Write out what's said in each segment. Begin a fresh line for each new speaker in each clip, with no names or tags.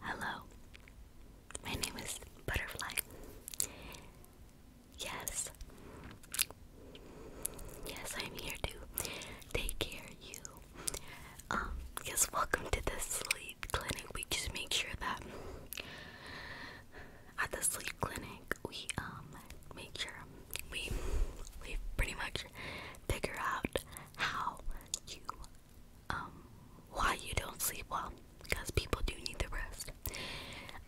Hello, my name is Butterfly. Yes, yes, I'm here to take care of you. Um, yes, welcome to the sleep clinic. We just make sure that at the sleep clinic we um make sure we we pretty much figure out how you um, why you don't sleep well because people do need the rest.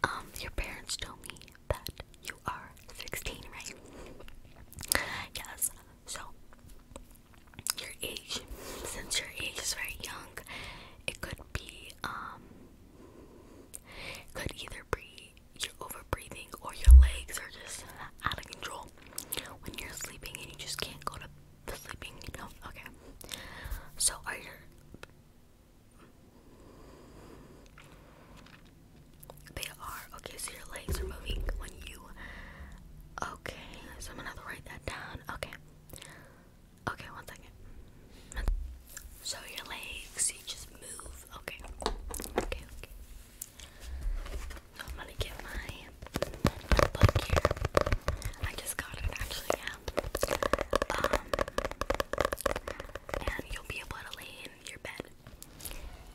Um, your parents told me that you are 16, right? Yes, so your age, since your age is very young, it could be, um, could either be you're over or your legs are just out of control when you're sleeping and you just can't go to the sleeping, you know? Okay. So are your they are okay, so your legs are moving when you okay, so I'm gonna have to write that down. Okay. Okay, one second. So your legs you just move. Okay. Okay, okay. So I'm gonna get my notebook here. I just got it actually, um, and you'll be able to lay in your bed.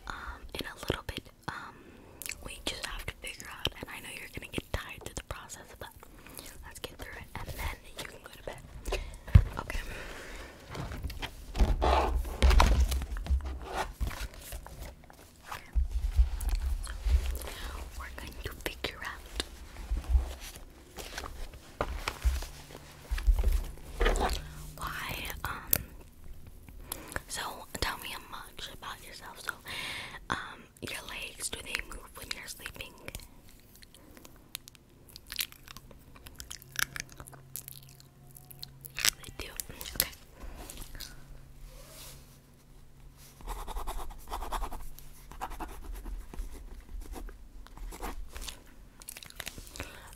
Um, in a little bit, um, we just have to figure out, and I know you're gonna get tired through the process, but let's get through it, and then you can go to bed. Okay. Okay. we're going to figure out why, um so tell me much about yourself. So, um, your legs, do they move when you're sleeping? They do. Okay.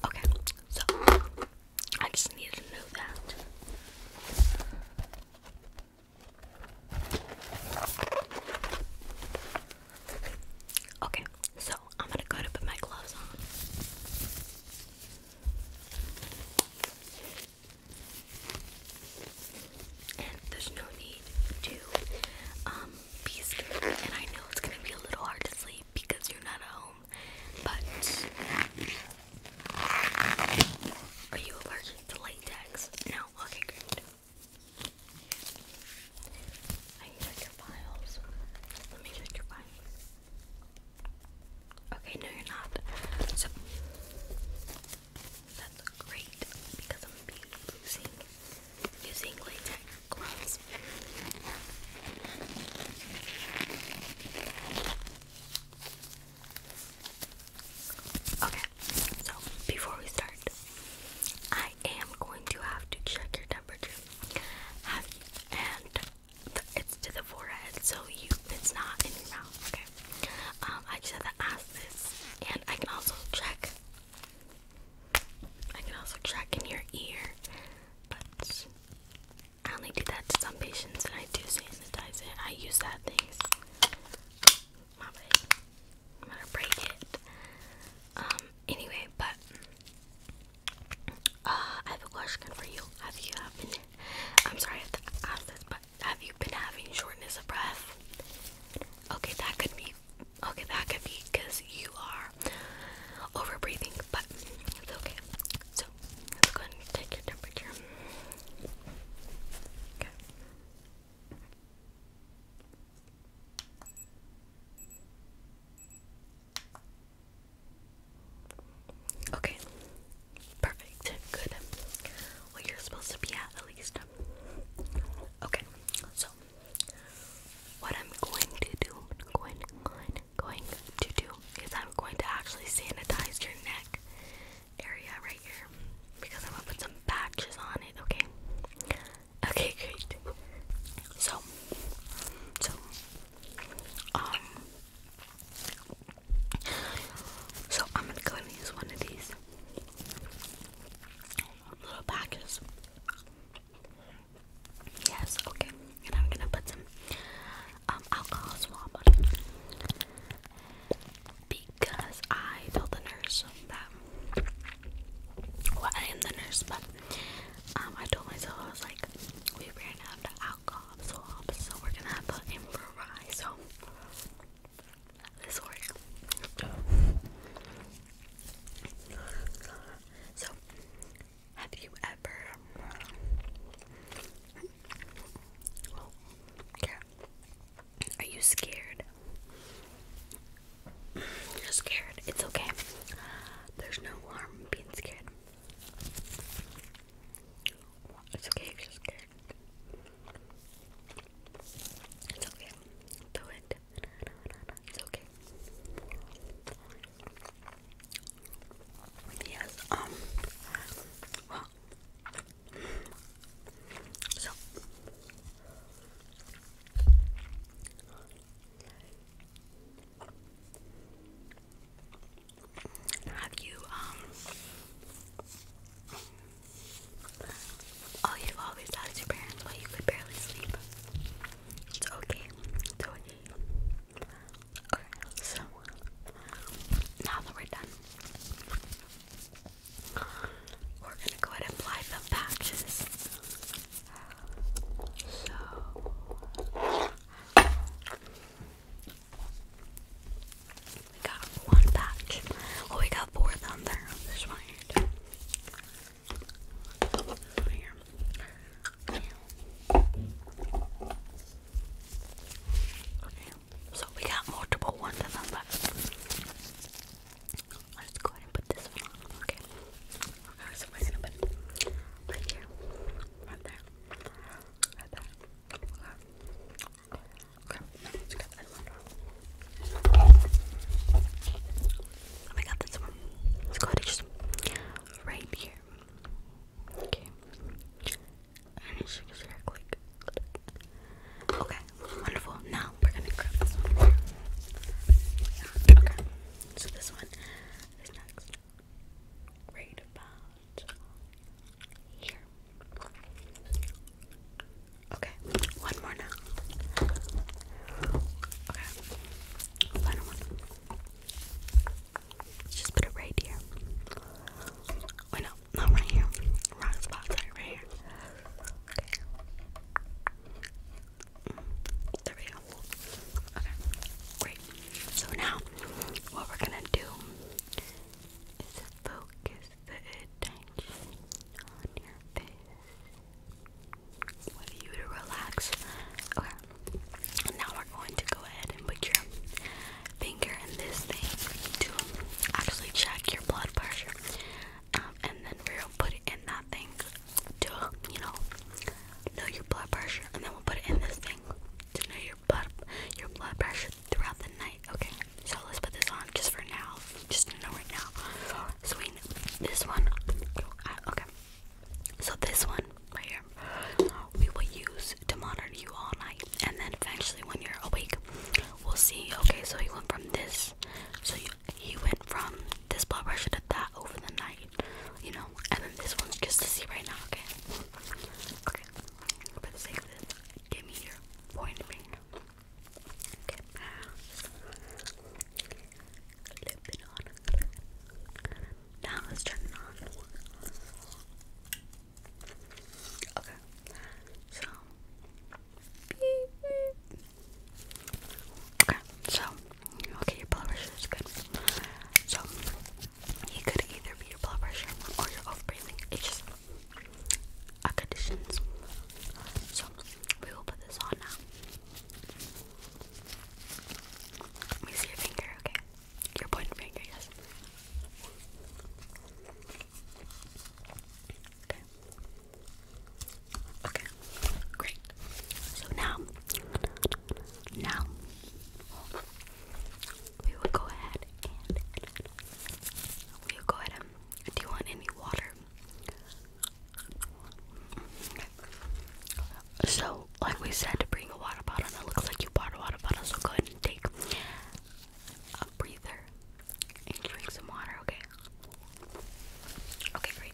Okay, so I just needed to know that. Okay, so I'm gonna go to put my gloves on and there's no need to um, be scared. And I know it's gonna be a little hard to sleep because you're not at home, but are you allergic to latex? No. Okay, I can your files. Let me check your files. Okay, no, you're not. So that's great because I'm gonna be using using latex gloves. Okay, so before we start, I am going to have to check your temperature. and it's to the forehead, so you it's not in your mouth. Okay. Um, I just have to ask this, and I can also check. I can also check in your ear, but I only do that to some patients, and I do sanitize it. I use that things. My bad. I'm gonna break it. Um. Anyway, but uh, I have a question for you. Have you happened? I'm sorry I have this, but have you been having shortness of breath? Okay, that could be. Okay, that could be because you are overbreathing, but it's okay. So let's go ahead and take your temperature. Okay. Okay. Perfect. Good. Well, you're supposed to be at at least. Okay. So, what I'm going to do, going, going, going to do is I'm going to actually sanitize your neck area right here because I'm gonna put some patches on it. Okay. Okay. Great. So, so, um, so I'm gonna go and use one of these little packets. Yes, okay. And I'm gonna put some um, alcohol swab on because I told the nurse that. Well, I am the nurse, but um, I told myself I was like, we ran out of alcohol. So we're gonna have to improvise. So this works. So have you ever? Oh, Are you scared? You're scared. It's okay. There's no harm in being scared. It's okay if you're scared. It's okay. Do it. it's okay. Yes, um, well, so, have you, um, oh, you always asked your parents why you could barely sleep. It's okay. It's okay. Okay, so now that we're done, we're gonna go ahead and apply the patches. So, we got one patch. Oh, we got four down there. This This one here. so we got multiple ones left. Let's go ahead and put this one on. Okay. Okay, so we're gonna put right here, right there, right there let's Oh my god, this one. Let's go ahead and just right here. Okay. Okay, wonderful. Now we're gonna grab this one. Yeah, okay. So this one is next. Right here. Okay, one more now. Okay, final one. Let's just put it right here. Wait, no, not right here. Wrong spot, sorry, right here. Mm, there we go. Okay, great. So now, what we're gonna do is focus the attention on your face. Want you to relax. Okay. Now we're going to go ahead and put your finger in this thing to actually check your blood pressure, um, and then we're gonna put it in that thing to you know know your blood pressure, and then we'll put it in this thing to know your your your blood pressure throughout the night. Okay, so let's put this on just for now, just to know right now. So we this one. Okay, so this one right here, we will use to monitor you all night, and then eventually when you're awake, we'll see. Okay, so he went from this, so he went from this blood pressure to that over the night you know, and then this one's just to see right now, okay? Okay, for the sake of this, give me your point finger. Okay, Now let's turn it on. Okay, so. Okay, so okay, your blood pressure is good. So he could either be your blood pressure or your off-breathing. It's just a condition, So we will put this on now. Let me see your finger, okay? Your pointer finger, yes. Okay. Okay. Great. So now, now, we will go ahead and we will go ahead do you want any water? So, like we said, to bring a water bottle, That looks like you bought a water bottle, so go ahead and take a breather and drink some water, okay? Okay, great.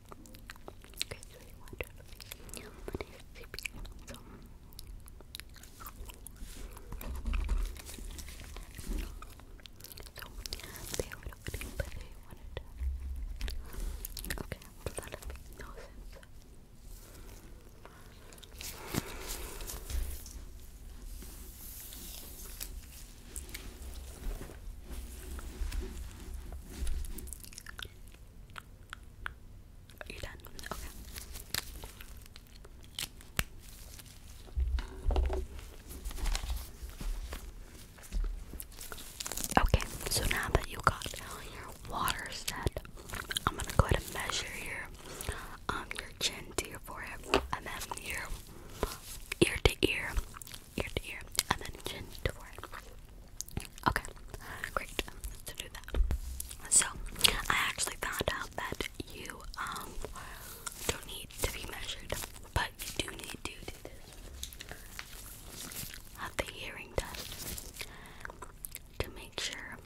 guys you want to be so so, they would open but they wanted to okay, but that makes no sense Okay, Okay. so now that you got your water set, I'm gonna go to measure your um your chin to your forehead and then your ear to ear ear to ear, and then chin to forehead. Okay, great. To do that. So, I actually found out that you um don't need to be measured, but you do need to do this the hearing test to make sure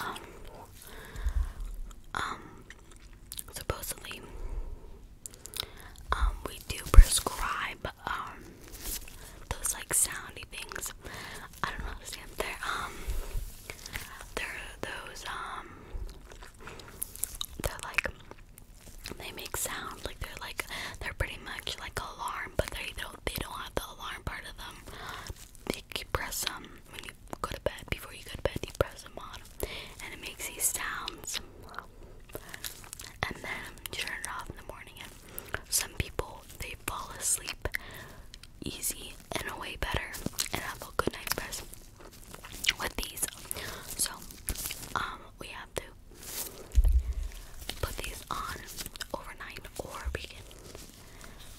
um, um supposedly um, we do prescribe um those like soundy things. I don't know how to say them. They're um they're those um they're like they make sound like they're like they're pretty much like alarm, but they don't they don't have the alarm part of them. They you press them when you go to bed before you go to bed. You press them on, and it makes these sounds and then turn it off in the morning. And some people they fall asleep easy and away better and have a good night's rest with these. So um, we have to put these on overnight or we can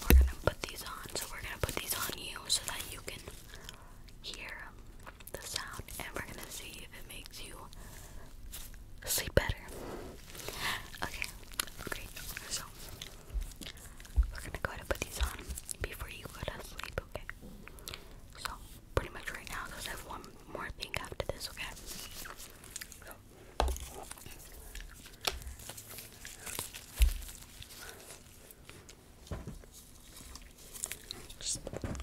we're gonna put these on so we're gonna put these on you so that you can hear the sound and we're gonna see if it makes you sleep better. Okay, great. So we're gonna go ahead and put these on before you go to sleep, okay? So pretty much right now because have one more thing after this, okay? So. Perfect.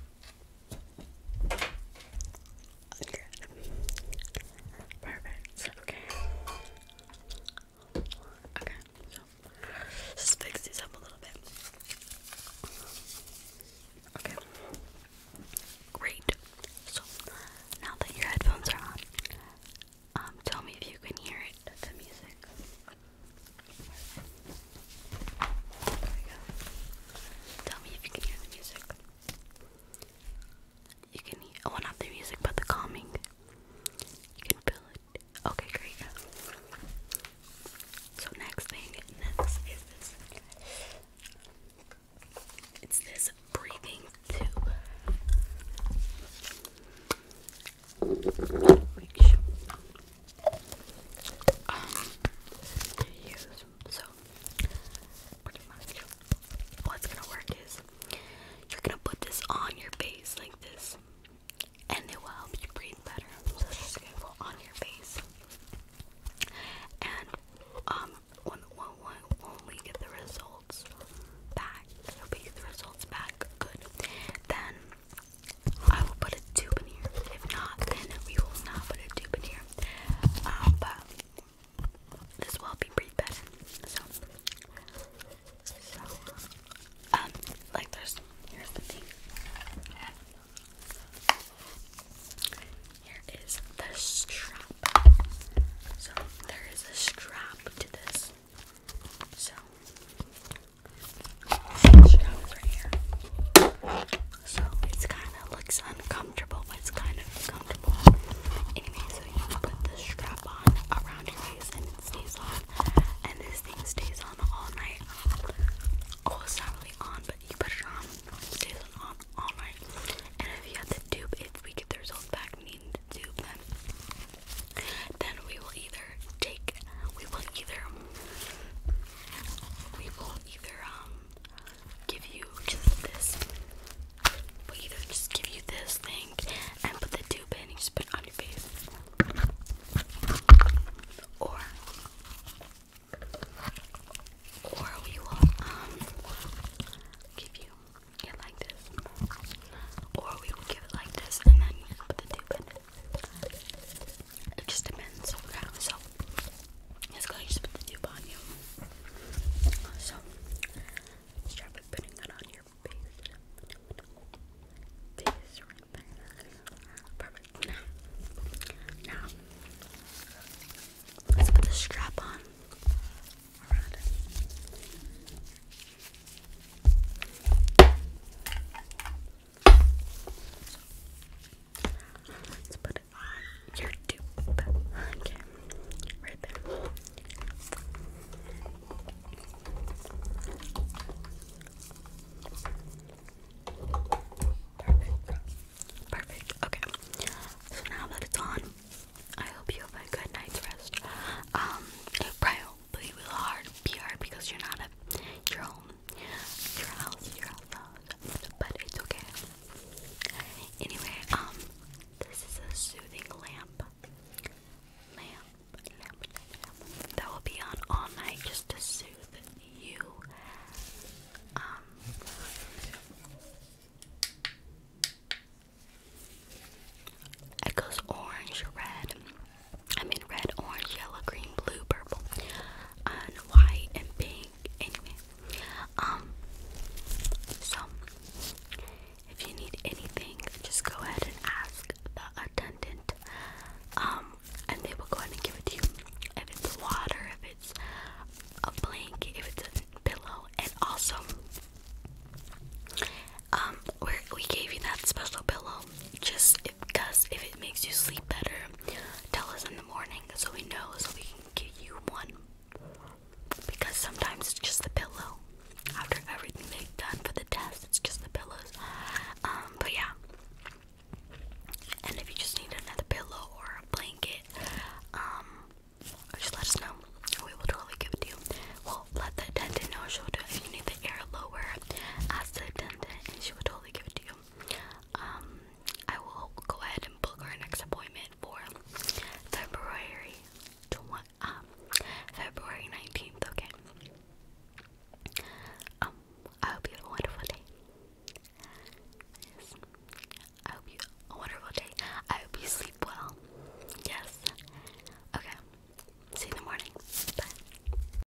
Okay. Okay. So just fix these up a little bit. Okay. Great. So now that your headphones are on, um, tell me if you can hear it, the music. Tell me if you can hear the music. You can oh, not the music, but the calming. You can feel it. Okay, great. So, next thing, is this. It's this breathing too um, use. So, pretty much, what's gonna work is you're gonna put this on your face like this, and it will help you breathe better. So it's just gonna go on your face, and um, when when when, when we get the results back, you'll be the results back good. Then I will put a tube in here. If not, then we will not put a tube in here. Um, but this will be pretty bad. so, um, like there's here's the thing. Here is the strap. So there is a strap to this. So Chicago's So it's kind of looks uncomfortable, but it's kind of comfortable. Anyway, so you put the strap on around your waist and it stays on. And this thing stays on all night. Oh, it's on, but you put it on, stays on all, night. And if you have to dupe, if we get the results back needing to dupe them, then we will either take, we will either we will either um give you just this we'll either just give you this thing and put the tube in and just put it on your face or or we will um give you it like this or we will give it like this and then put the tube in it just depends on how so it's gonna just put the tube on you. So start by putting it on your face. Face right there. Perfect. Now, let's put the strap on. Let's put it on your dupe. Okay, right there. Perfect. Perfect. Okay. So now that it's on, I hope you have a good night's rest. Um, it probably hard be hard because you're not at your home your house, your house, but it's okay. Anyway, um, this is a soothing lamp. Lamp, lamp, lamp. That will be on all night just to soothe you. Um, it goes orange, red, I'm in red, orange, yellow, green, blue, purple, and white, and pink. Anyway, um, so if you need anything, just go ahead and ask the attendant, um, and they will go ahead and give it to you. If it's water, if it's a blanket, if it's a pillow, and also, um, we we gave you that special pillow um, just because if, if it makes you sleep better, tell us in the morning so we know so we can give you one. Because sometimes it's just the pillow. After everything they've done for the test, it's just the pillows. Um, but yeah. And if you just need another pillow or a blanket, um, just let us know. We will totally give it to you. Well, let the attendant know she'll do you need the air lower, ask the attendant and she will totally give it to you. Um, I will go ahead and book our next appointment for February um, February nineteenth. Okay. Um, I hope you have a wonderful day. Yes. I hope you a wonderful day. I hope you sleep well. Yes. Okay. See you in the morning. Bye.